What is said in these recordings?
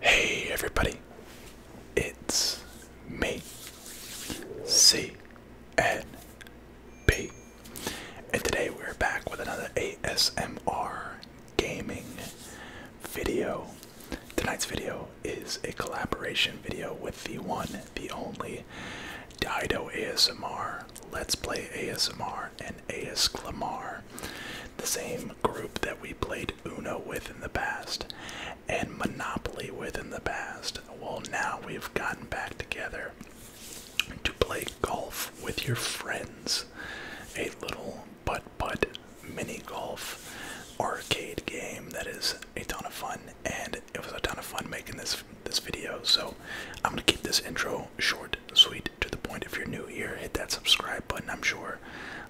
Hey everybody, it's me, C N B, and today we're back with another ASMR gaming video. Tonight's video is a collaboration video with the one, the only Play, Dido ASMR, Let's Play ASMR, and AS Clamar, the same group that we played Uno with in the past and Monopoly with in the past. Well, now we've gotten back together to play golf with your friends. A little putt putt mini golf arcade game that is a ton of fun and it was a ton of fun making this this video. So I'm gonna keep this intro short, sweet, to the point. If you're new here, hit that subscribe button. I'm sure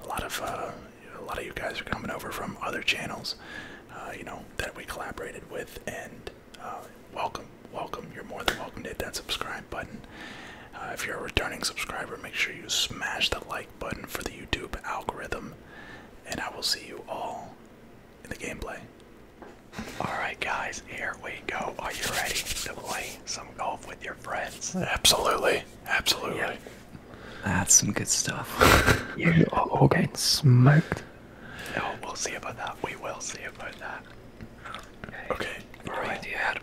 a lot of uh, a lot of you guys are coming over from other channels, uh, you know, that we collaborated with, and uh, welcome, welcome. You're more than welcome to hit that subscribe button. if you're a returning subscriber, make sure you smash the like button for the YouTube algorithm. And I will see you all in the gameplay. Alright, guys, here we go. Are you ready to play some golf with your friends? Absolutely. Absolutely. That's some good stuff. you are all getting smoked. No, we'll see about that. We will see about that. Okay. okay. No right. idea how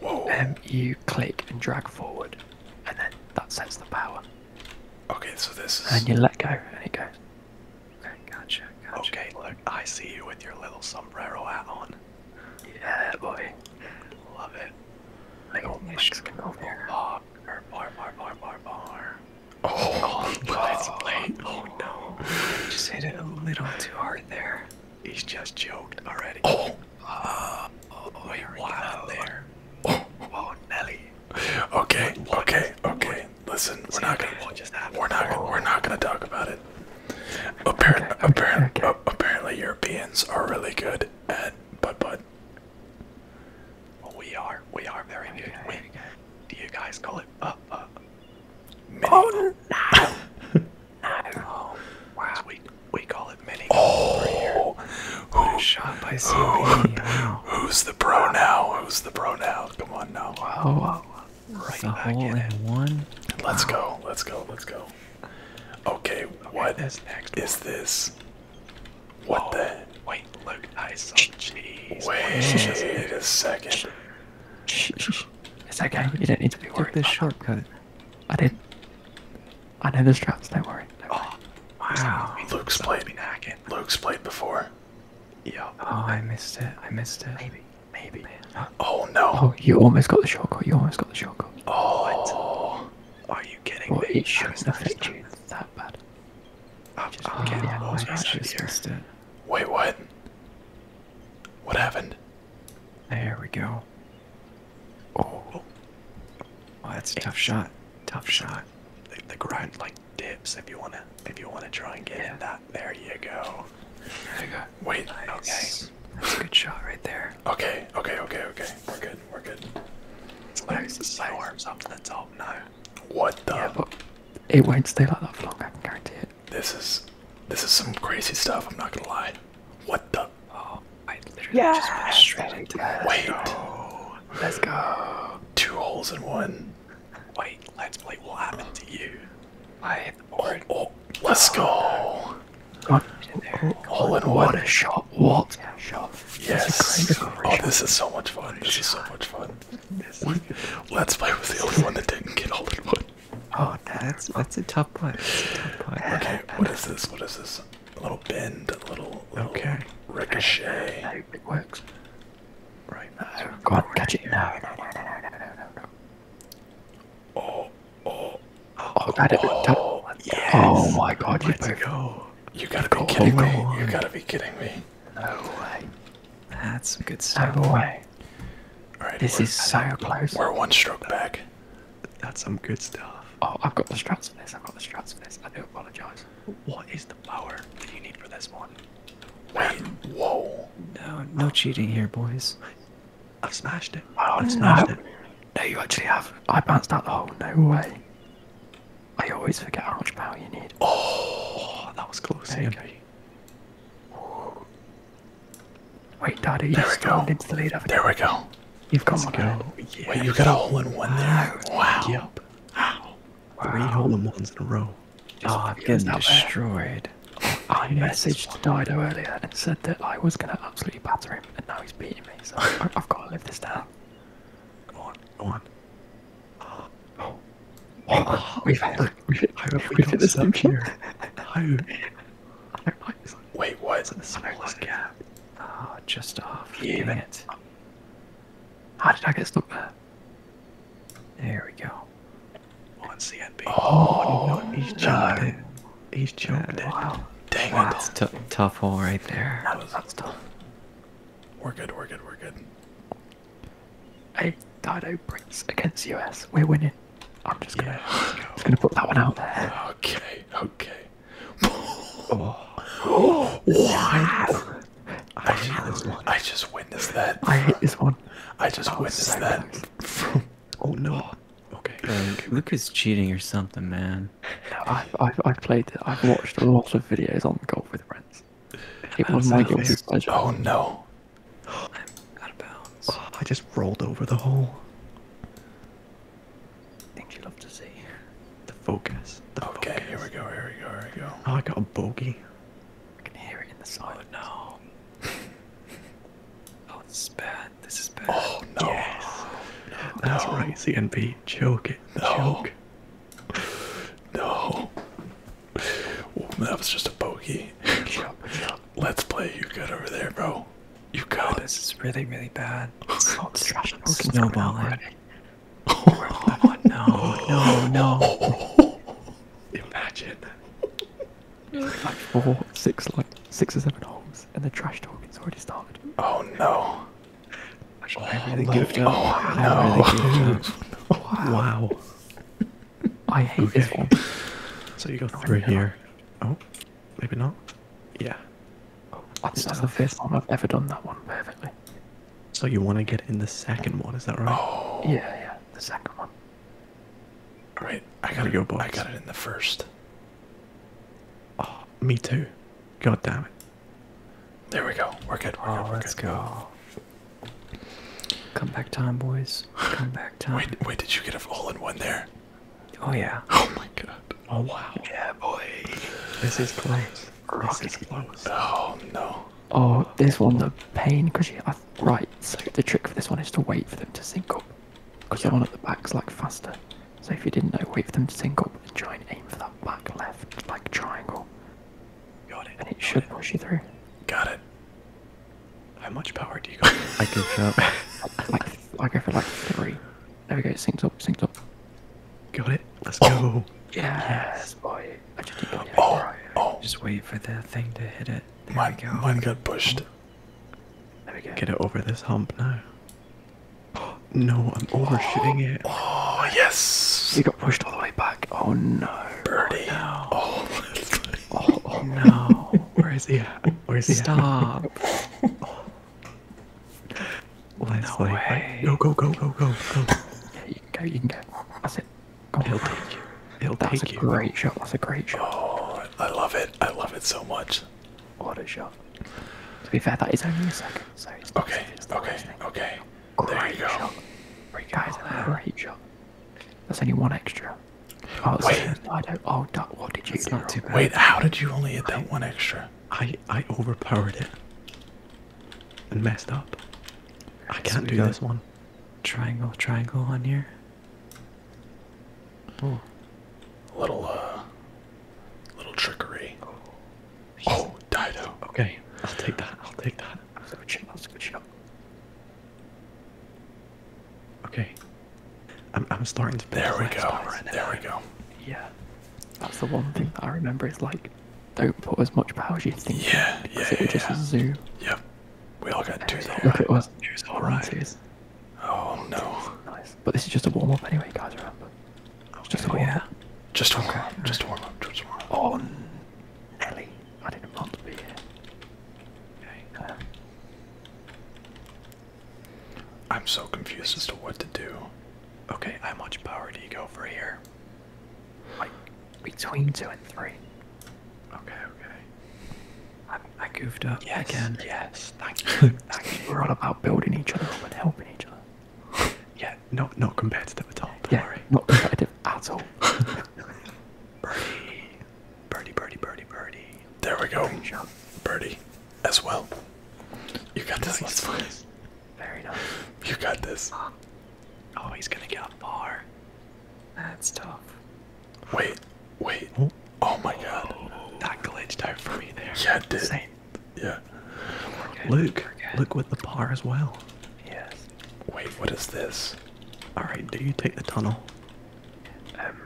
Whoa. Um, you click and drag forward, and then that sets the power. Okay, so this is. And you let go, and it goes. Okay, gotcha, gotcha. Okay, look, I see you with your little sombrero hat on. Yeah, boy. Love it. Little Mexican over bar, bar, bar, bar, bar, bar. Oh, let's oh, play. Oh no. You just hit it a little too hard there. He's just joked already. Oh. Uh, oh wait, wow. There. Oh, oh Nelly. Okay, what, okay, what, okay. What, Listen, we're not gonna. What just happened? We're not. Gonna, we're not gonna talk about it. Appar okay, apparent, okay. Uh, apparently, Europeans are really good at butt butt. Well, we are. We are very okay. good. We, do you guys call it butt butt? Mini. Oh no! no. Oh, wow. So we we call it mini. Oh, who, shot by who, Who's the pro now? Who's the pro now? Come on now. Wow. Right the back in One. Let's go. Let's go. Let's go. Okay, what is this? What the? Wait, look, I saw cheese. Wait a second. It's okay. You did not need to be worried. Took this shortcut. I did. I know this traps. Don't worry. Don't worry. Oh, wow. Luke's played before. Yeah. Oh, I missed it. I missed it. Maybe. Maybe. Oh no. Oh, you almost got the shortcut. You almost got the shortcut. Oh. What? Are you kidding me? It shouldn't affect that bad. I'm getting yeah, lost missed it. Wait, what? What happened? There we go. Oh. oh. that's a tough shot. Tough shot. They grind, like, dips if you wanna if you wanna try and get yeah. in that. There you go. There you go. Wait. Nice. Okay. That's a good shot right there. Okay. Okay. Okay. Okay. We're good. We're good. It's like my arms up to the top now. What the? Yeah, but it won't stay like that for long. I can guarantee it. This is this is some crazy stuff. I'm not gonna lie. What the? Oh, I literally yeah. just went straight into that. Wait. Oh. Let's go. Two holes in one. Wait, let's play. What happened to you? I hit oh, oh, let's go. Oh. Oh, hole in one. shot. What shot. Yes. oh, this is so much fun. This is so much fun. This let's play with the only one that didn't get hole in one. Oh, that's, that's a tough one. Okay, what is this? What is this? A little bend, a little, little okay. ricochet. I Right now. Go on, catch it. No, no, no, no, no, no, no, no. Oh, oh, oh, that oh, oh, yes. oh my god, Let's you both. go. You gotta be go kidding me. Go you gotta be kidding me. No way. That's some good stuff. No way. All right, this is so close. We're one stroke back. That's some good stuff. Oh, I've got the struts for this. I've got the struts for this. I do apologize. What is the power you need for this one. Wait. Whoa. No, uh, no cheating here, boys. I've smashed it. I've smashed no. it. No, you actually have. I bounced out the hole. No way. I always forget how much power you need. Oh, that was close. okay. Wait, Daddy, you stormed into the lead. There we go. You've got one. Go. Wait, you got a hole in one there. Wow. Yep. Wow. Three hole in ones in a row. Oh, just oh, I'm getting destroyed. Oh, I messaged Dido earlier and said that I was going to absolutely batter him, and now he's beating me, so I've got to live this down. Come on, come on. Oh. Oh, we've had, look, we've, how have we got stuck here? no. Wait, what? It's in the smallest gap. Ah, oh, just off. Yeah. Dang it. How did I get stuck there? There we go. On CNB. Oh, oh no, he's jumped no. He's jumped yeah, Wow. Dang it. That's t tough hole right there. That was, that's tough. We're good, we're good, we're good. Hey, Dido Prince against US. We're winning. I'm just gonna, yeah, go. just gonna put that one out there. Okay, okay. oh. oh, wow. I, just, witnessed that. I hate this one. I just witnessed that. oh no. Okay. Like, Luca's cheating or something, man. I've, I've, played it. I've watched a lot of videos on golf with friends. Oh no. I'm out of bounds. Oh, I just rolled over the hole. Things you love to see. The focus. okay, here we go, here we go, here we go. Oh, I got a bogey. I can hear it in the silence. Oh, no. oh, this is bad. This is bad. Oh, no. That's no. right, CNP. Choke it. No. Choke. No. that was just a bogey. Let's play you got over there, bro. You oh, got this is really, really bad. It's snowballing. Eh? Oh, no, no, no. Imagine. Like four, six, like six or seven holes, and the trash talking's already started. Oh no. oh, no. Wow. I hate this one. So you go through here. Oh, maybe not. Yeah. Oh, that's the first one I've ever done that one perfectly. So you want to get in the second one, is that right? Oh. Yeah, yeah, the second one. All right, I got to go, boys. I got it in the first. Oh, me too. God damn it. There we go. We're good. We're oh, good. We're let's good. go. Come back time, boys. Come back time. Wait, wait, did you get a all in one there? Oh, yeah. Oh, my God. Oh, wow. Yeah, boy. This is close. Oh no. Oh, this one's a pain because you. I, right, so the trick for this one is to wait for them to sync up. Because yeah. the one at the back's like faster. So if you didn't know, wait for them to sync up and try and aim for that back left like triangle. Got it. And it should push you through. Got it. How much power do you got? I give up. like, I go for like three. There we go, syncs up, syncs up. Got it. Let's oh. go. Yes, boy. Oh. Oh. just wait for the thing to hit it. There mine, mine got pushed. There we go. Get it over this hump now. no, I'm overshooting it. Oh, yes. You got pushed all the way back. Oh, no. Birdie. Oh, no. Oh, no. Where is he at? Where is he Stop. let no way. Go, go, go, go, go, go. yeah, you can go, you can go. That's it. Go will take you. It'll take you. That's a great shot. That's a great shot. Oh, I love it. I love it so much. What a shot. To be fair, that is only a second, so Okay, okay, okay. Great shot. There you go. great shot. That's only one extra. Oh, Wait. I don't, oh, that, what did you That's do? Not too bad. Wait, how did you only hit that one extra? I, I overpowered it and messed up. I can't do this one. Triangle, triangle on here. Oh. little, uh, little trickery. Oh, oh Dido. Okay, I'll take that. I'll take that. I'll good shot. That's a good shot. Okay. I'm, I'm starting to. There we go. there we go. Yeah. That's the one thing that I remember. Is like, don't put as much power as you think. Yeah, in, yeah, it yeah, just yeah. zoom. Yep. We all got two though. Look, right. it was. all right. Twos. Oh no. Nice. But this is just a warm up anyway, guys. Remember. Just a warm up. Just a warm up. Just a warm up. Just a warm up. Oh, Nelly. I didn't want to be here. Okay. Uh. I'm so confused as to what to do. Okay, how much power do you go for here? Like between two and three. Okay, okay. I, I goofed up yes, again. Yes, thank you. Thank you. We're all about building each other up and helping each other. Yeah, not not competitive at all. Don't yeah, worry. not competitive at all. birdie, birdie, birdie, birdie, birdie. There we go. Birdie, as well. You got this. Nice. Very nice. you got this. oh, he's gonna get a bar. That's tough. Wait, wait. Oh my god. that glitched out for me there. Yeah, it Same. Yeah. Luke, Luke with the par as well. Yes. Wait, what is this? Alright, do you take the tunnel? Um,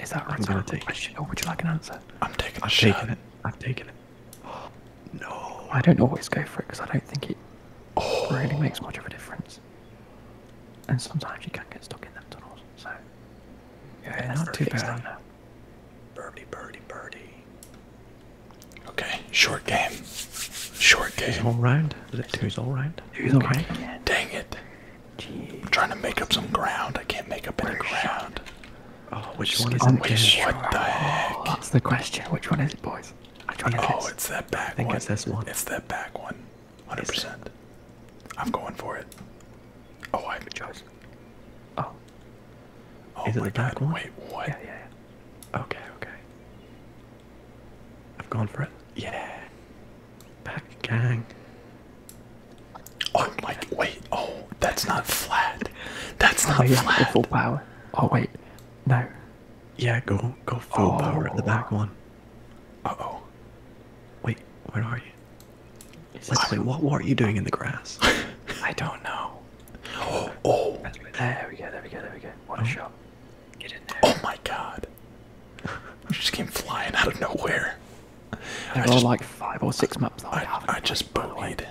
is that right? I'm gonna take I should, oh, would you like an answer? I'm taking I've shot. it. I've taken it. No. I don't always go for it because I don't think it really oh. makes much of a difference. And sometimes you can get stuck in the tunnels, so. Yeah, not too bad. Okay, short game. Short game. Who's all round? Is it two's all round? Who's okay. all round? Dang it. I'm trying to make up some ground. I can't make up any ground. Oh, which one is it? Which, what the heck? Oh, that's the question. Which one is it, boys? Which one is oh, it's that back one. It's that back one. 100%. I'm going for it. Oh, I have a choice. Oh. Oh, is it the back one? Wait, what? Yeah, yeah, yeah. Okay, okay. I've gone for it. Yeah. Back gang. Oh, my. Wait. Oh, that's not flat. That's oh, not flat. Full power. Oh wait, no. Yeah, go go full power at the back oh. one. Uh oh. Wait, where are you? let what what are you doing in the grass? I don't know. Oh, There we go, there we go, there we go. What a oh. shot. Get it there. Oh my god. I just came flying out of nowhere. There are like five or six maps that I, I haven't I just bullied.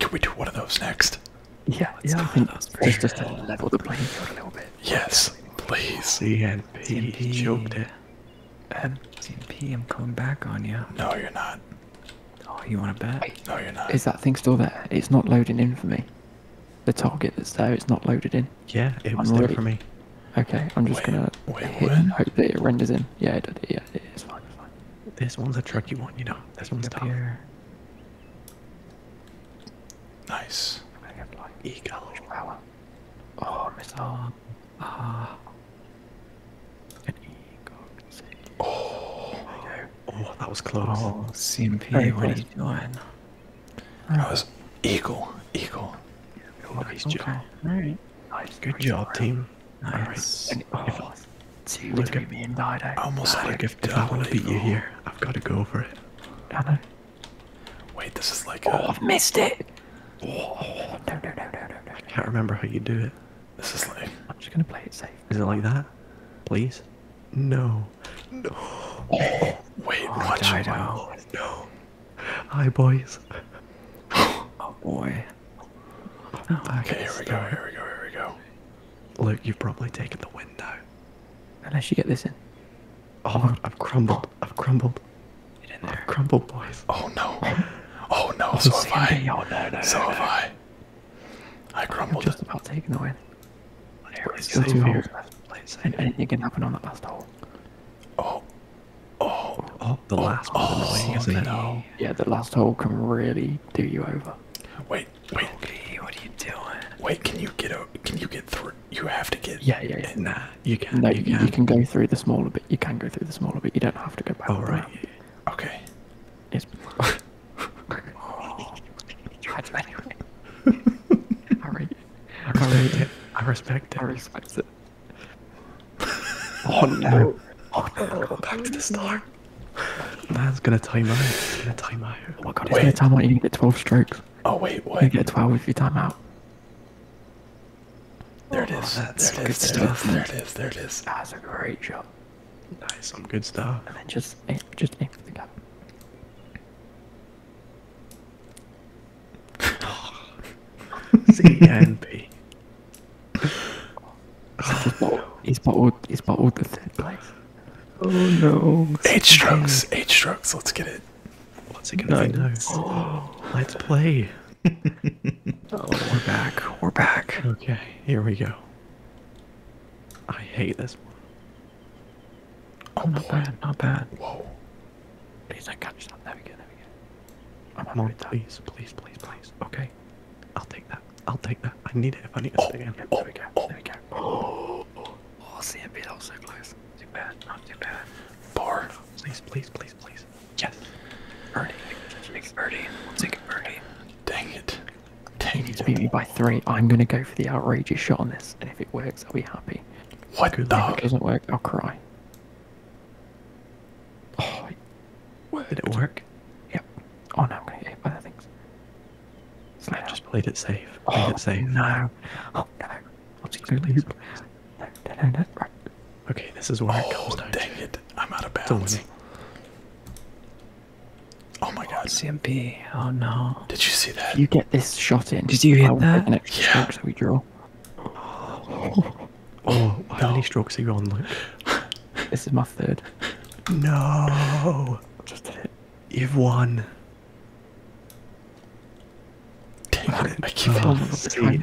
Can we do one of those next? Yeah, yeah. just, to level the playing a little bit. Yes, please. CNP, CNP. choked it. Um, I'm coming back on you. No, you're not. Oh, you want to bet? no, you're not. Is that thing still there? It's not loading in for me. The target that's there, it's not loaded in. Yeah, it was I'm there for me. Okay, I'm just gonna wait, and hope that it renders in. Yeah, it did. Yeah, it's fine. It's fine. This one's a tricky one, you know. This one's tough. Here. Nice. eagle. Oh, missed Ah. Oh. Oh, that was close. Oh, CMP. what are you doing? That was eagle. Eagle. Yeah, nice okay. job. All right. Nice. Good job, team. Nice. All right. Oh, look at me and died out. Almost died. if, I want to beat you here, I've got to go for it. I Wait, this is like. Oh, a... I've missed it. no, no, no, no, no, can't remember how you do it. This is like. I'm just gonna play it safe. Is it like that? Please. No. Oh, wait, oh, watch I out. No. Hi, boys. oh boy. okay, here we go. Here we go. Here we go. Luke, you've probably taken the win now. Unless you get this in. Oh, I've crumbled. I've crumbled. You're in there. crumbled, boys. Oh no. Oh no, so oh, have I. Oh, no, so have I. I crumbled. just about taking the win. There we go. Two holes left. Anything can happen on that last hole. Oh. Oh. Oh, the last oh, oh Yeah, the last hole can really do you over lava. Wait, wait. Okay, what are you doing? Wait, can you get out? Can you get through? You have to get. Yeah, yeah, yeah. Nah, you can. No, you can. You can go through the smaller bit. You can go through the smaller bit. You don't have to go back. All oh, right. Around. Okay. Yes. oh. All right. All right. I respect it. I respect it. Oh no. Oh no. Back to the start. That's gonna time out. It's gonna time out. Oh my god, it's wait. gonna time out. You're gonna get 12 strokes. Oh, wait, wait. You get 12 if you time out. There it is. Oh, that's there it is. There, stuff. It is. there it is. There it is. That's a great shot. Nice, some good stuff. And then just aim, just aim for the cap. C N P. he's my he's my old dead place. Oh no. Eight strokes, eight strokes, let's get it. What's it gonna be? No. Oh, let's play. Oh, we're back, we're back. Okay, here we go. I hate this one. Oh, not bad, not bad. Whoa. Please, I got you. There again. Not there we I'm on, please, please, please, please. Okay, I'll take that that. I'll take that. I need it if I need to oh, stay in. Oh, there we go. There we go. Oh, CMP, that was so close. Too bad. Not too bad. Bar. Please, please, please, please. Yes. Birdie. Make birdie. We'll take a birdie. Dang it. Dang it. beat me by three. I'm going to go for the outrageous shot on this, and if it works, I'll be happy. What the? If it doesn't work, I'll cry. Oh, Word. Did it work? Yep. Oh no, I'm gonna get hit by the things. Snap, just played it safe. Played oh, it safe. No. Oh no. Oh, geez, please. No, no, no, no. Okay, this is where it comes oh, down. Dang it. I'm out of bounds. Oh my god. CMP. Oh no. Did you see that? You get this shot in. Did you hit that? yeah. Oh, how many strokes are you on, This is my third. No. Just did it. You've won. I, keep oh, hitting.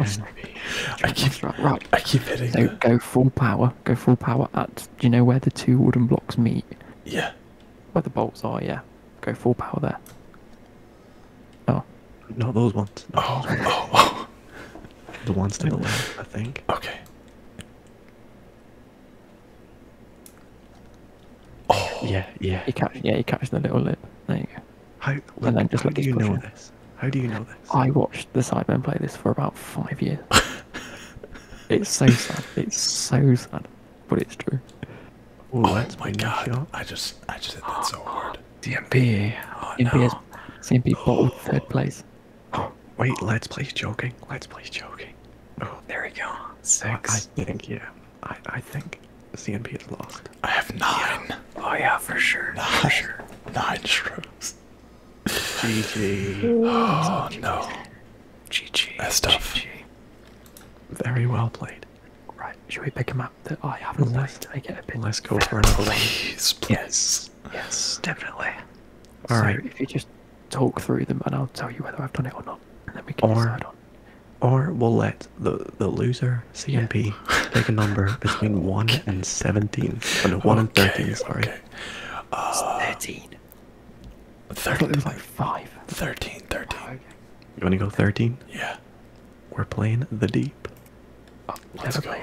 I keep, right, I keep hitting. So it. go full power. Go full power at. Do you know where the two wooden blocks meet? Yeah. Where the bolts are, yeah. Go full power there. Oh. Not those ones. Oh, oh, oh. The ones to the left, I think. Okay. Oh. Yeah, yeah. You catch, yeah, you catch the little lip. There you go. How, and then just how do you know this? How do you know this? I watched the Sidemen play this for about five years. it's so sad. It's so sad, but it's true. Ooh, oh that's my god! I just, I just hit that so hard. DMP, oh, DMP no. DMP bottled third place. Oh, wait, let's play joking. Let's play joking. Oh, there we go. Six. I, think, yeah. I, I think CNP is lost. I have nine. Yeah. Oh, yeah, for sure. Nine. For sure. Nine strokes. GG. oh, no. GG. That's tough. GG. Very well played. Right, should we pick him up? that oh, I haven't left. a bit. Let's go for another. please, please. Yes, yes, definitely. All right. If you just talk through them, and I'll tell you whether I've done it or not, then we can or, decide on. Or we'll let the the loser CMP take a number between one and seventeen, and oh, one and thirteen. Sorry, uh, thirteen. 13. 13, 13. You want to go 13? Yeah. We're playing the deep. Oh, let's go.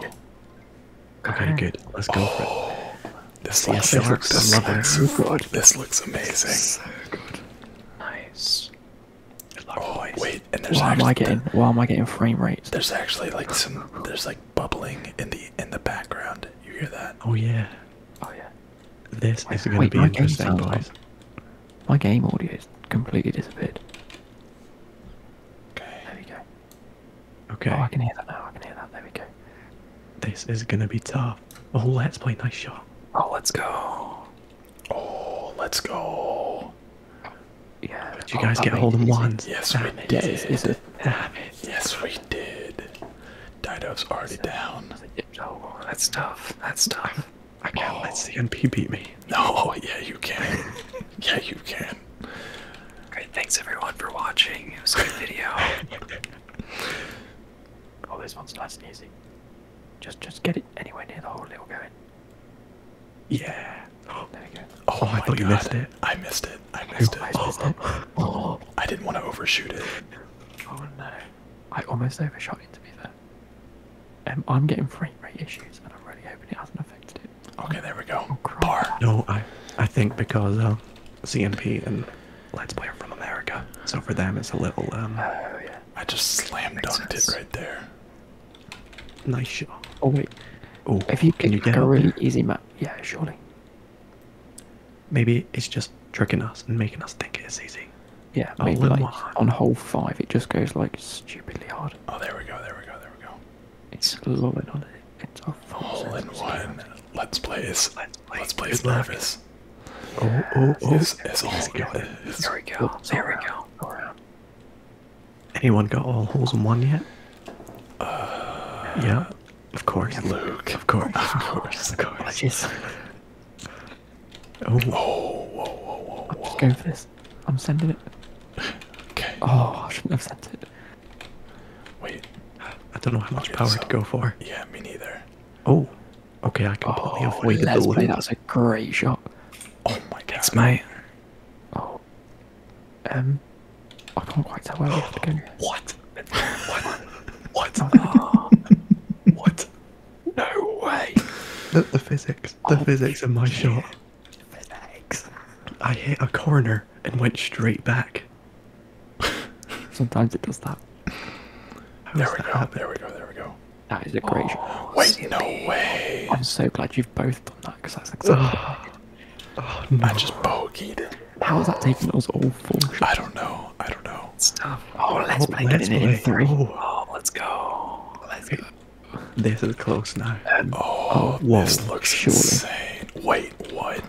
Okay, right. good. Let's go for oh, it. This looks, yes, looks so, good. so good. This looks amazing. So good. Nice. It looks oh nice. wait, and there's why actually, am I getting why am I getting frame rates? There's actually like some there's like bubbling in the in the background. You hear that? Oh yeah. Oh yeah. This wait, is gonna wait, be interesting, boys. My game audio is completely disappeared. Okay. There we go. Okay. Oh, I can hear that now. I can hear that. There we go. This is gonna be tough. Oh, let's play. Nice shot. Oh, let's go. Oh, let's go. Yeah. Did oh, you guys get hold of ones? Yes, we did. Yes, we did. Dido's already down. Oh, that's tough. That's tough. I can't oh. let CNP beat me. No, yeah, you can. yeah, you can that. thanks everyone for watching. It was a good video. oh, this one's nice and easy. Just, just get it anywhere near the hole. It'll go in. Yeah. Oh, there you go. Oh, oh I thought God. you missed it. I missed it. I missed it. Oh. I didn't want to overshoot it. Oh no. I almost overshot it to be fair. Um, I'm getting frame rate issues, and I'm really hoping it hasn't affected it. Okay, there we go. Oh, no, I, I think because um, CMP and Let's Player from America. So for them, it's a little. Um, oh yeah. I just slammed dunked it right there. Nice shot. Oh wait. Oh, if you can get a really easy map, yeah, surely. Maybe it's just tricking us and making us think it's easy. Yeah, oh, maybe like on hole five, it just goes like stupidly hard. Oh, there we go, there we go, there we go. It's loaded on it. It's all in one. Let's plays. Let's plays nervous. Oh, oh, oh. It's, it's all there we go. There we go. All around. Anyone got all holes in one yet? Uh, yeah. Of course. Luke. Of course. Of course. Of course. Oh. oh. Whoa, whoa, whoa, whoa, I'm just going for this. I'm sending it. Okay. Oh, I shouldn't have sent it. Wait. I don't know how much power to go for. Yeah, me neither. Oh. Okay, I completely oh, avoided the loop. Play. That was a great shot. Oh my god. mate! Oh. Um. I can't quite tell where we have to go. What? What? what? Oh, what? No way. The, the physics. The oh, physics of my shit. shot. Physics. I hit a corner and went straight back. Sometimes it does that. there we go. There we go. There we go. That is a great. Oh, wait, no way! I'm so glad you've both done that because that's exactly. oh, no. I just bogeyed. How is that taking us all four? I don't know. I don't know. Stuff. Oh, let's oh, play. Let's play. in three. Oh. let's go. Let's This is close now. Oh, oh, this looks insane. Wait, what?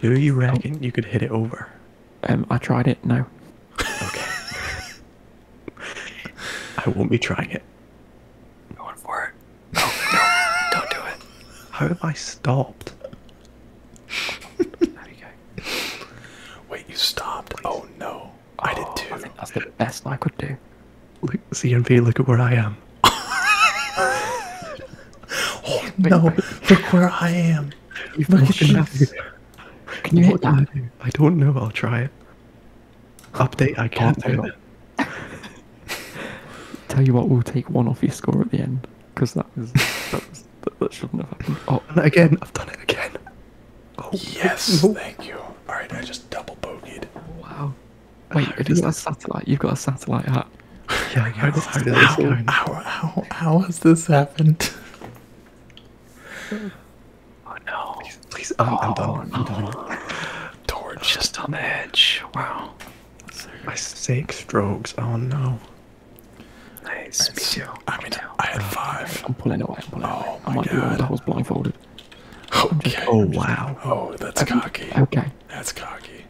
Do you reckon you could hit it over? Um, I tried it. No. Okay. I won't be trying it. Going for it. No, no, don't do it. How have I stopped? there we go. Wait, you stopped? Oh no, I did oh, too. I think that's the best I could do. Look, CMP, look at where I am oh no! Look where I am. You've Look at Can you hit that? I don't know. I'll try it. Update. I can't oh, do it. Tell you what, we'll take one off your score at the end because that that shouldn't have happened. Oh, and again, I've done it again. Oh, yes, thank you. All right, I just double bogeyed. Wow. Wait, have you got a satellite? You've got a satellite hat. Yeah, how, does, how, does how, this how, how, how has this happened? Oh no. Please, please I'm, oh, I'm done. I'm done. Oh. Torch. Just on edge. Wow. My six strokes. Oh no. Nice. That's, me too. I mean, I had five. I'm pulling away. I'm pulling oh, away. I might God. be wrong. I was blindfolded. Okay. Just, oh, wow. Just, oh, that's I'm, cocky. Okay. That's cocky.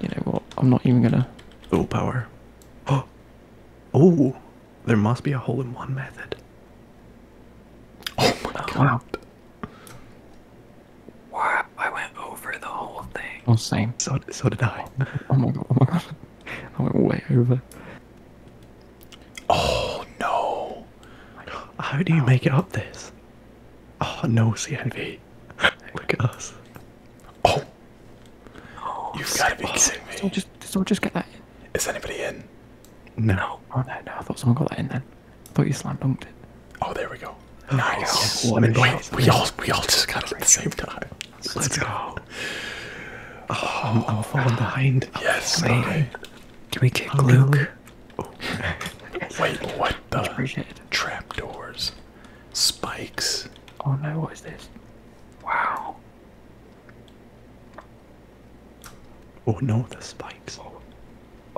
You know what? I'm not even gonna. Oh power. Oh, oh! There must be a hole-in-one method. Oh my god! Wow! I went over the whole thing. Oh, same. So so did I. Oh my god! Oh my god! I went way over. Oh no! How do you make it up this? Oh no, CNV. Look at us. Oh, oh you've got to be kidding me! Someone just, someone just get that in. Is anybody in? No. Oh no, no! I thought someone got that in then. I thought you slammed dunked it. Oh, there we go. Oh, nice. I mean, wait, we all, we all just got it at the same time. Let's, go. Oh, I'm, falling behind. Yes. Can we kick Luke? Wait, what the? Trapdoors spikes. Oh no, what is this? Wow. Oh no, the spikes. Oh,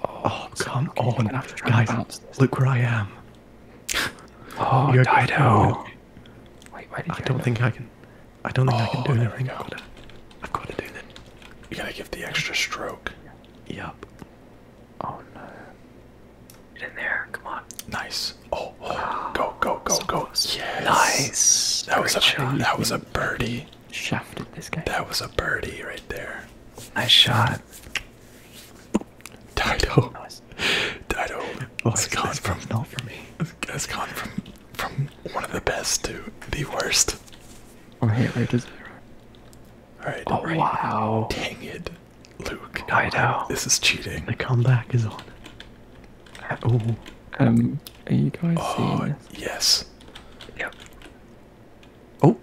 oh, oh come on, guys! Look where I am. Oh, You're Dido. Wait, why I don't think I can. I don't think I can oh, do anything. I've got to. do that. You gotta give the extra stroke. Yep. Oh no in there. Come on. Nice. Oh, oh. Ah, go, go, go, go. Yes. Nice. That was, a, that was a birdie. Shafted this guy. That was a birdie right there. Nice shot. Dido. Nice. Dido has gone from not for me. Has gone from from one of the best to the worst. Oh, hit rate is Alright. Oh wow. Dang it. Luke, I know. This is cheating. The comeback is on. Oh. Um, are you guys oh, Yes. Yep. Oh.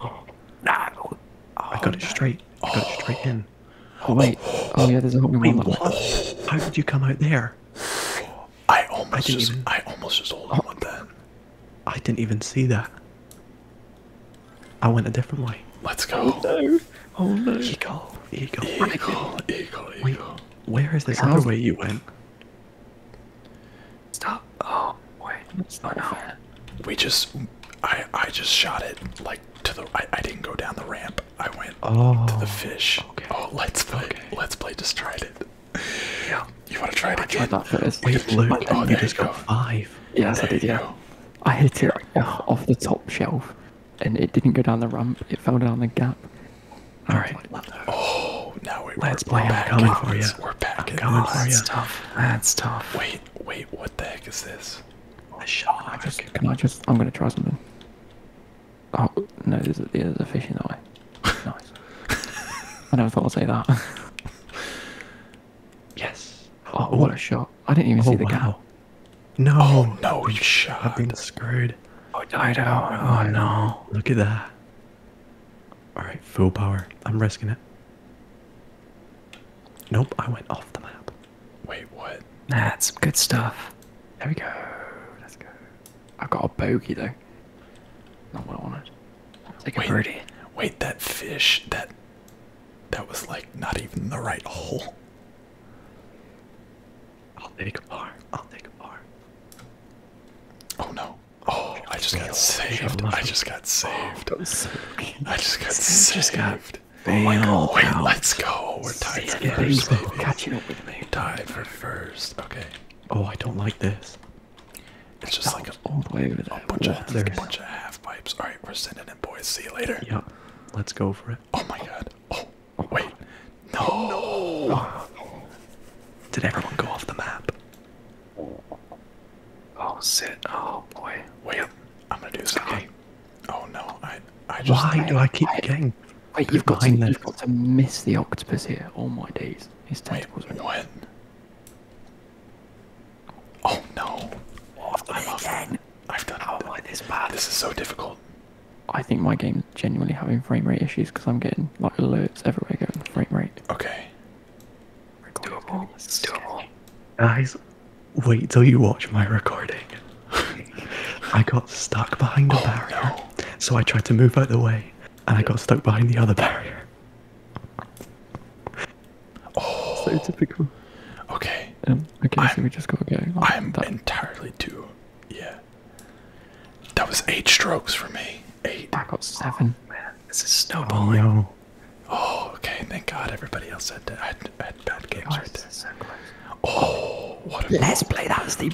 oh. No. I got it oh, straight. I got it straight in. Oh, wait. Oh, yeah, there's a whole new one. How did you come out there? I almost I just, even... I almost just hold on oh. that. I didn't even see that. I went a different way. Let's go. Oh no. Oh no. Eagle. Eagle. Eagle. Eagle. Eagle. where is this other way you went? Stop. Oh, wait. Oh no. We just I I just shot it like to the I, I didn't go down the ramp. I went oh, to the oh, fish. Okay. Oh, let's play. Let's play just tried it. Yeah. You want to try it again? I tried that first. Wait, Luke, oh, you just got five. Yes, there I did, yeah. I hit it off, the top shelf, and it didn't go down the ramp. It fell down the gap. All right. Oh, now Let's we're, play. We're back for you. that's Tough. That's tough. Wait, wait. What the heck is this? A shark. Can I just? I am gonna try something. Oh no! There's a, there's fish in the way. Nice. I never thought I'd say that. Yes. Oh, what a shot. I didn't even see the cow. Oh, no. Oh, no, you shot. I've been screwed. Oh, died out. Oh, no. Look at that. All right, full power. I'm risking it. Nope, I went off the map. Wait, what? That's good stuff. There we go. Let's go. I got a bogey, though. Not what I wanted. I'll a birdie. Wait, that fish, that that was like not even the right hole. I'll take a bar. I'll take a bar. Oh no. Oh, I just got saved. Oh, I just got saved. I just got saved. Oh my god. Wait, let's go. We're tied for first. Baby. Tied for first. Okay. Oh, I don't like this. It's just like a, all way over there. A bunch, of, a bunch of half pipes. All right, we're sending it, boys. See you later. Yeah, let's go for it. Oh my god. Oh, oh wait. No. no. Oh. Did everyone go off the map? Oh, sit. Oh boy. Wait. I'm gonna do something. Oh no. I. I just. Why do I keep I, getting? Wait, you've got, to, miss the octopus here. All my days. His tentacles wait, are. Oh no! I've done I'm again. I've done How oh, this bad? This is so difficult. I think my game genuinely having frame rate issues because I'm getting like alerts everywhere going frame rate. Okay. Doable. doable. Guys, wait till you watch my recording. I got stuck behind a oh, barrier, so I tried to move out the way, and I got stuck behind the other barrier. Oh, Okay. Um, okay, I'm, just go. Like I'm that. entirely too. Yeah. That was eight strokes for me. Eight. I got seven. Oh, this is snowballing. Oh, oh okay. Thank God everybody else had, had, bad games oh, right there. oh, what a Let's play. That was the.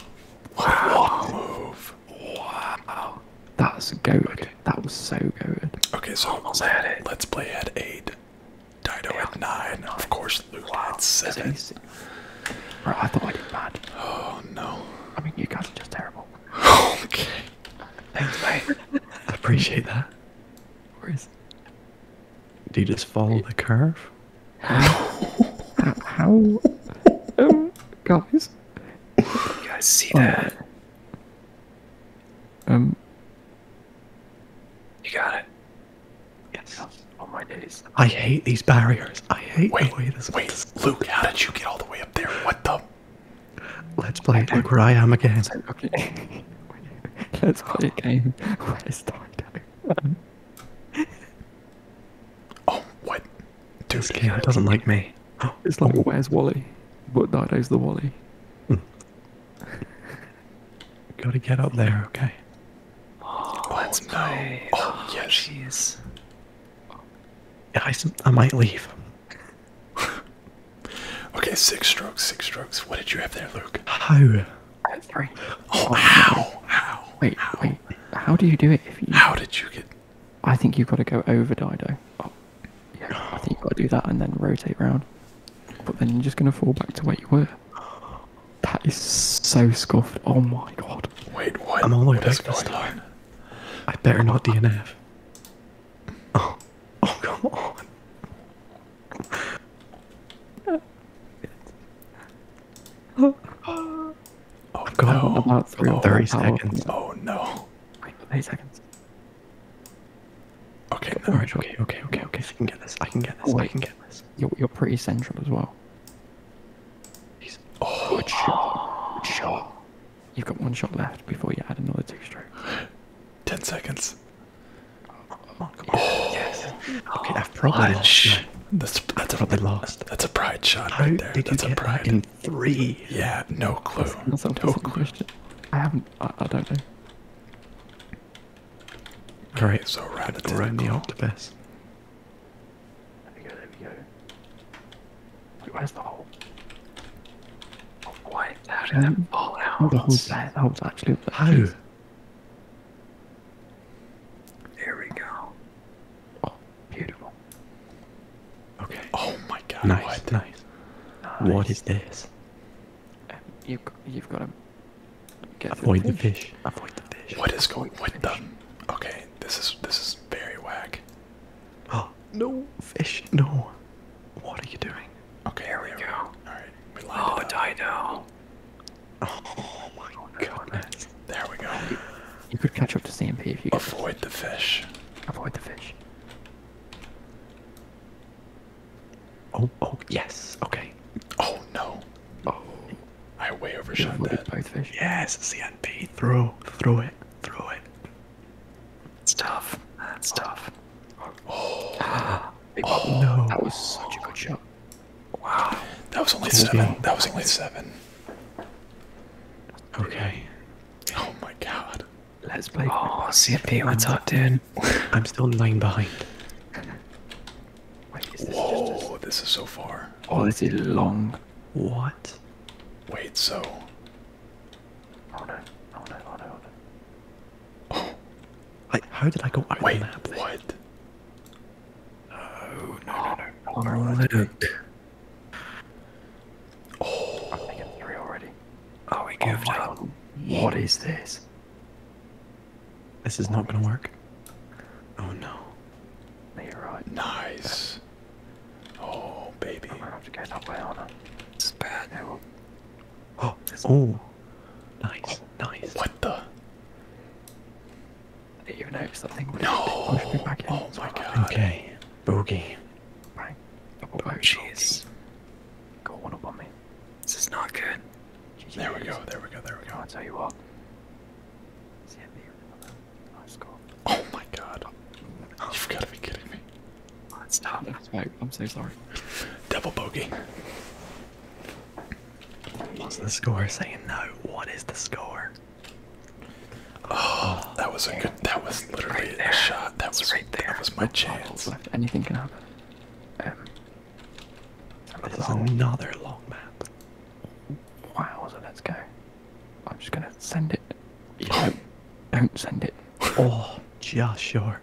Wow. move. Wow. That's a goat. That was so good. Okay, so Almost let, had it. let's play at eight. Dino at nine. Of course, Luke wow, at seven. I thought I did bad. Oh no. I mean, you guys are just terrible. okay. Thanks, mate. I appreciate that. Where is? it? Do you just follow the curve? How? How? Um, guys. You guys see that? Oh. Um. You got it. Yes. Oh my days. I hate these barriers. I hate wait, the way this. Wait, this Luke, how did you get all the way up there? What the? Let's play. It. Look where I am again. Okay. Let's oh. play a game. Where's Darko? oh, what? Dude, this game doesn't like me. It's like, oh. where's Wally? But Dido's the Wally. Mm. Gotta get up there, okay. Oh, Let's go. Oh, yes. Oh, jeez. I, I might leave. okay, six strokes, six strokes. What did you have there, Luke? How? Three. Oh, oh how? How? Wait, how? wait. How do you do it? How did you get? I think you've got to go over Dido. Oh, I think you gotta do that and then rotate round. But then you're just gonna fall back to where you were. That is so scuffed. Oh my god. Wait, what? I'm all the way back I better not DNF. Oh, oh come on. Oh, god! have no. about three oh, 30 seconds. Oh no. Wait, 30 seconds. Okay, all right, okay, okay, okay, okay. I can get this. I can get this. I can get this. You're, you're pretty central as well. He's, oh, good shot. Good shot. You've got one shot left before you add another two Ten seconds. come on, come on. Oh, yes. Okay, oh, I've probably lost. That's, that's probably lost. That's a pride shot right there. that's a pride. That in three. Yeah, no clue. no clue. I haven't. I don't know. All right, so right at around the octopus. There we go. There we go. Wait, where's the hole? Oh, why? How did that um, fall out? The hole's there. The hole's actually How? Oh. There we go. Oh, beautiful. Okay. Oh my God. Nice. Nice. What is this? You, you've got to avoid the fish. Avoid the fish. What is going? with the? Okay, this is this is very whack. Oh no, fish! No. What are you doing? Okay, here we, go. go. All right, we Oh, Dino. Oh my goodness! There we go. You, could catch up to CMP if you. Avoid the fish. Avoid the fish. Oh, oh, yes. Okay. Oh no. Oh, I way overshot that. Pikefish. Yes, CNP. Throw, throw it, throw it. It's tough. That's tough. Oh, ah, oh no! That was such a good shot. Wow. That was only cool seven. Game. That was only seven. Okay. Oh my god. Let's play. Oh, CFP, what's up, dude? I'm still nine behind. Wait, is this Whoa, this is so far. Oh, this is long. What? Wait, so. Oh no, oh no, oh no, oh no. Oh. Like, how did I go out Wait, of the map? Then? What? Oh, no, no, no. Oh, no, no, no. look. Oh, I'm making three already. Oh, we oh goofed up. What is this? This is not gonna work. Oh no. you're right. Nice. Oh, baby. I'm gonna have to get that way on It's bad. Yeah, oh, oh. Nice, nice. What the? Did you notice that thing? No. Pushed me Oh my god. Okay. Boogie. Right. oh, jeez. Got one up on me. This is not good. there we go, there we go, there we go. I'll tell you what. It's hit me Oh my god. You've got to be kidding me. Oh, stop. I'm so sorry. Double bogey. What's the score saying no? What is the score? Oh, that was a good. That was literally a shot. That was right there. That was my chance anything can happen. Um, it is another long map. Wow, so let's go. I'm just gonna send it. Yeah. No, don't send it. oh, yeah, sure.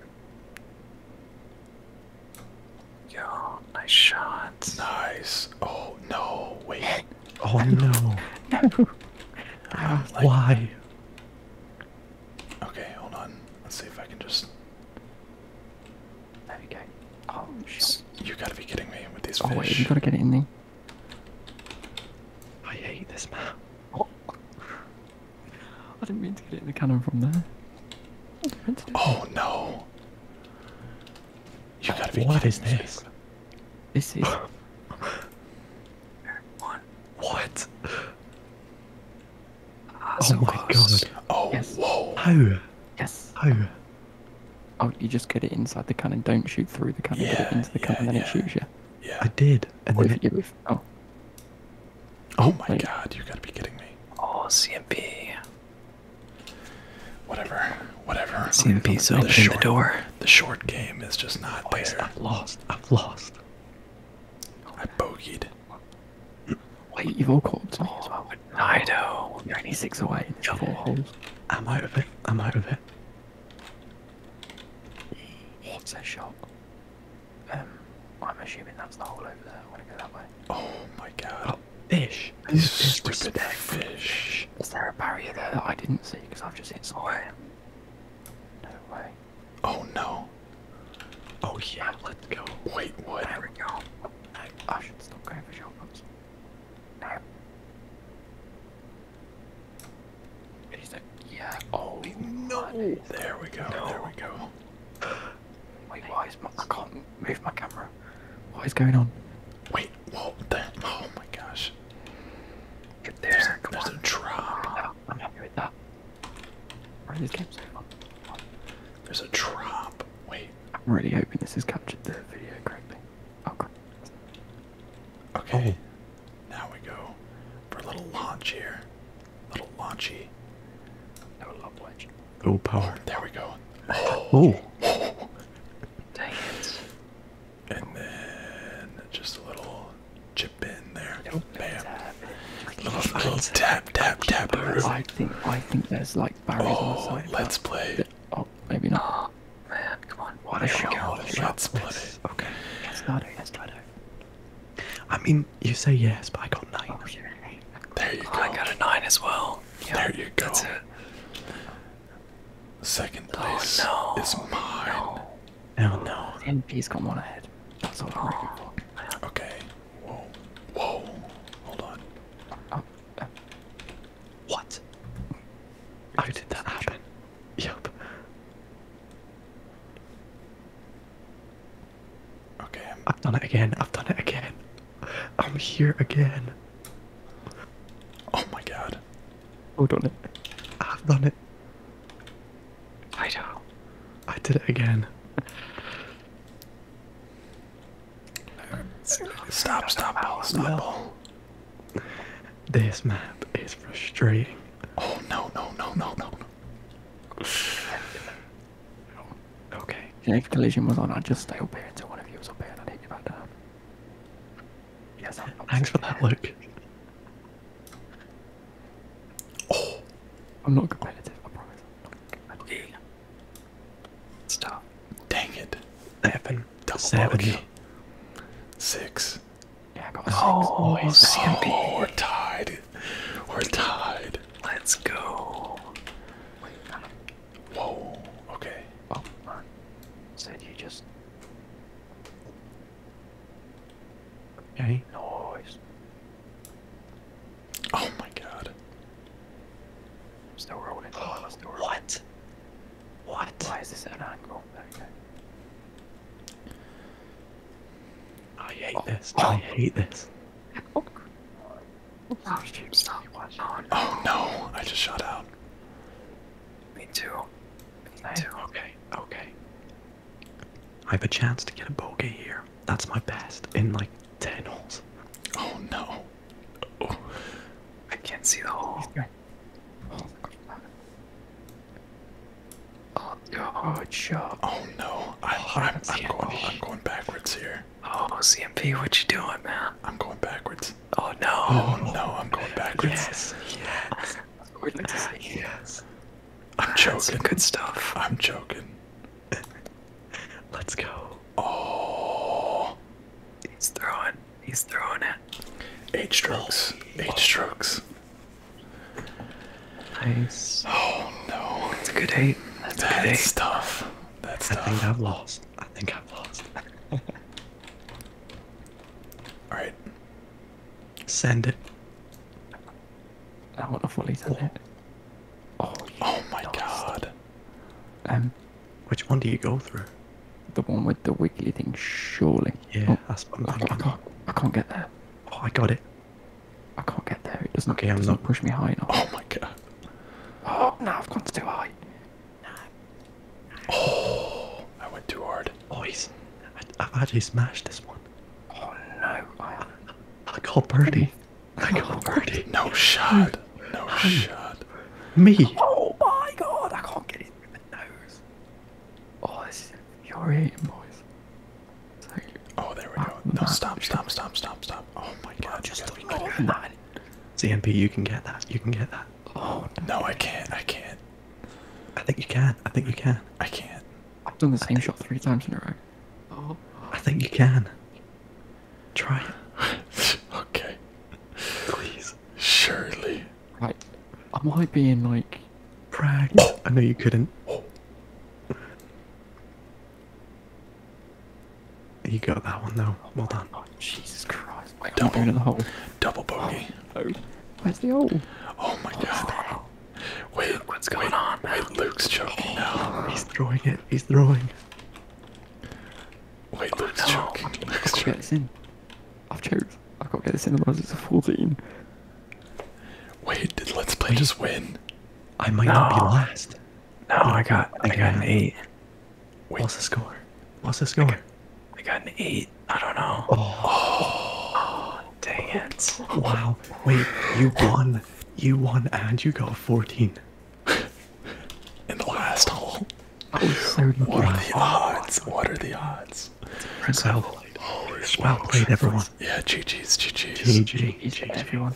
Yo, nice shot. Nice. Oh, no, wait. oh, no. Why? Okay, hold on. Let's see if I can just. There we go. Oh You gotta be kidding me with these fish. Oh wait, you gotta get it in there. I hate this map. Oh. I didn't mean to get it in the cannon from there. Oh no! You gotta be kidding is this? This is What? oh my god. Oh, yes. whoa. How? Yes. How? Oh, you just get it inside the cannon. Don't shoot through the cannon. get it into the cannon, and then it shoots you. Yeah. I did. Oh. Oh my god, you gotta be kidding me. Oh, CMP. Whatever. Whatever. CMP's opening the, door. The short game is just not oh, there. I've lost. I've lost. I bogeyed. Wait, you've all caught up to me as well. Oh, I know. You're only six away. There's four holes. I'm out of it. I'm out of it. What's that shot? Um, I'm assuming that's the hole over there. I want to go that way. Oh my god. Oh, ish. This stupid fish. Is there a barrier there that I didn't see because I've just hit somewhere? No way. Oh no. Oh yeah, ah, let's go. Wait, what? There we go. I, should still grab his elbows. Damn. He's like, yeah. Oh no. There we go. There we go. Wait, why is my? I can't move my camera. What is going on? Wait, what Oh my gosh. There's, a drop. Ah. I'm happy with that. Where are these games? There's a trap. Wait. I'm really hoping this is captured the video correctly. Oh, Okay. Now we go for a little launch here. little launchy. No love Oh, power. there we go. Oh. oh. Dang it. And then just a little chip in there. Bam. little, I, tap, tap, tap. I think, I think there's like barriers oh, Let's play. Th oh, maybe not. Oh, man, come on. What a shot. What a Let's play. Okay. Let's it. Let's it. I mean, you say yes, but I got nine. Oh, there you oh, go. I got a nine as well. there you go. Second place is mine. Oh no. MP's come on ahead. That's what i Okay. Whoa. Whoa. Hold on. Oh, uh, what? How did that happen? Yep. Okay. i have done it again. I've done it again. I'm here again. Oh my god. Hold on it. I've done it. I know. I did it again. Stop, stop, stop, This map is frustrating. Oh, no, no, no, no, no. okay. The next collision was on. I just stay up here until one of you was up here and I take you back down. Yes, Thanks for that, Luke. Oh, I'm not competitive. I promise. I'm not okay. Stop. Dang it. Seven. Double Seven. Bogey. Six. Yeah, I got oh, six. Oh, oh, we're tied. We're tied. Let's go. Wait, Whoa. Okay. Oh, Said you just. Any noise. Oh my god. Still rolling. What? What? Why is this an angle? Okay. I hate oh, this. I hate this. Oh, stop. Oh, no. oh no, I just shut out. Me too. Me too. Okay, okay. I have a chance to get a bogey here. That's my best in like 10 holes. Oh no. Oh. I can't see the hole. Oh, oh, oh, no. I, am oh, going, I'm going backwards here. Oh, CMP, what you doing, man? I'm going backwards. Oh no. Oh no, I'm going backwards. Yes, yes. Ah, yes. I'm joking. good stuff. I'm joking. Let's go. Oh. He's throwing. He's throwing it. Eight strokes. Eight oh. strokes. Nice. Oh no. That's a good eight. That's, That's good stuff. That's I tough. I think I've lost. I think I've lost. Alright. Send it. I want to know what he's it. Oh, oh my god. Um, Which one do you go through? The one with the wiggly thing, surely. Yeah, oh, I, can't. get there. Oh, I got it. I can't get there. It doesn't. Okay, it I'm not pushing push me high enough. Oh my god. Oh no, I've gone too high. Oh, I went too hard. Oh, he's. I've actually smashed this one. Oh no! I, I got birdie. I got oh, Bertie. No shot. No shot. Me. Oh my god! I can't get it through the nose. Oh, this is infuriating, boys. oh, there we go. No, stop! Stop! Stop! Stop! Stop! Oh my god! You just you gotta you can get that. You can get that. Oh no I can't. I can't. I think you can. I think you can. I can't. I've done the same shot three times in a row. I think you can. Try okay. Please. Surely. Right. Am I being like brag? Oh. I know you couldn't. Oh. You got that one though. Well done. Oh, Jesus Christ! double, i the hole. Double bogey. Oh, Where's the hole? Oh my God! Wait, what's going on? Man? Luke's choking. no, he's throwing it. He's throwing. Wait, oh, Luke's no. choking. i choking. Get this in. I've choked. I can't get this in. Otherwise, it's a fourteen. Wait, did Let's Play just win? I might no. not be last. No, I got. I, got an eight. Wait. What's the score? What's the score? I got, an eight. I don't know. oh. oh dang it. Wow. Wait, you won. You won and you got 14. In the last hole. What are the odds? What are the odds? Well, played, everyone. Yeah, GG's, GG's. GG, everyone.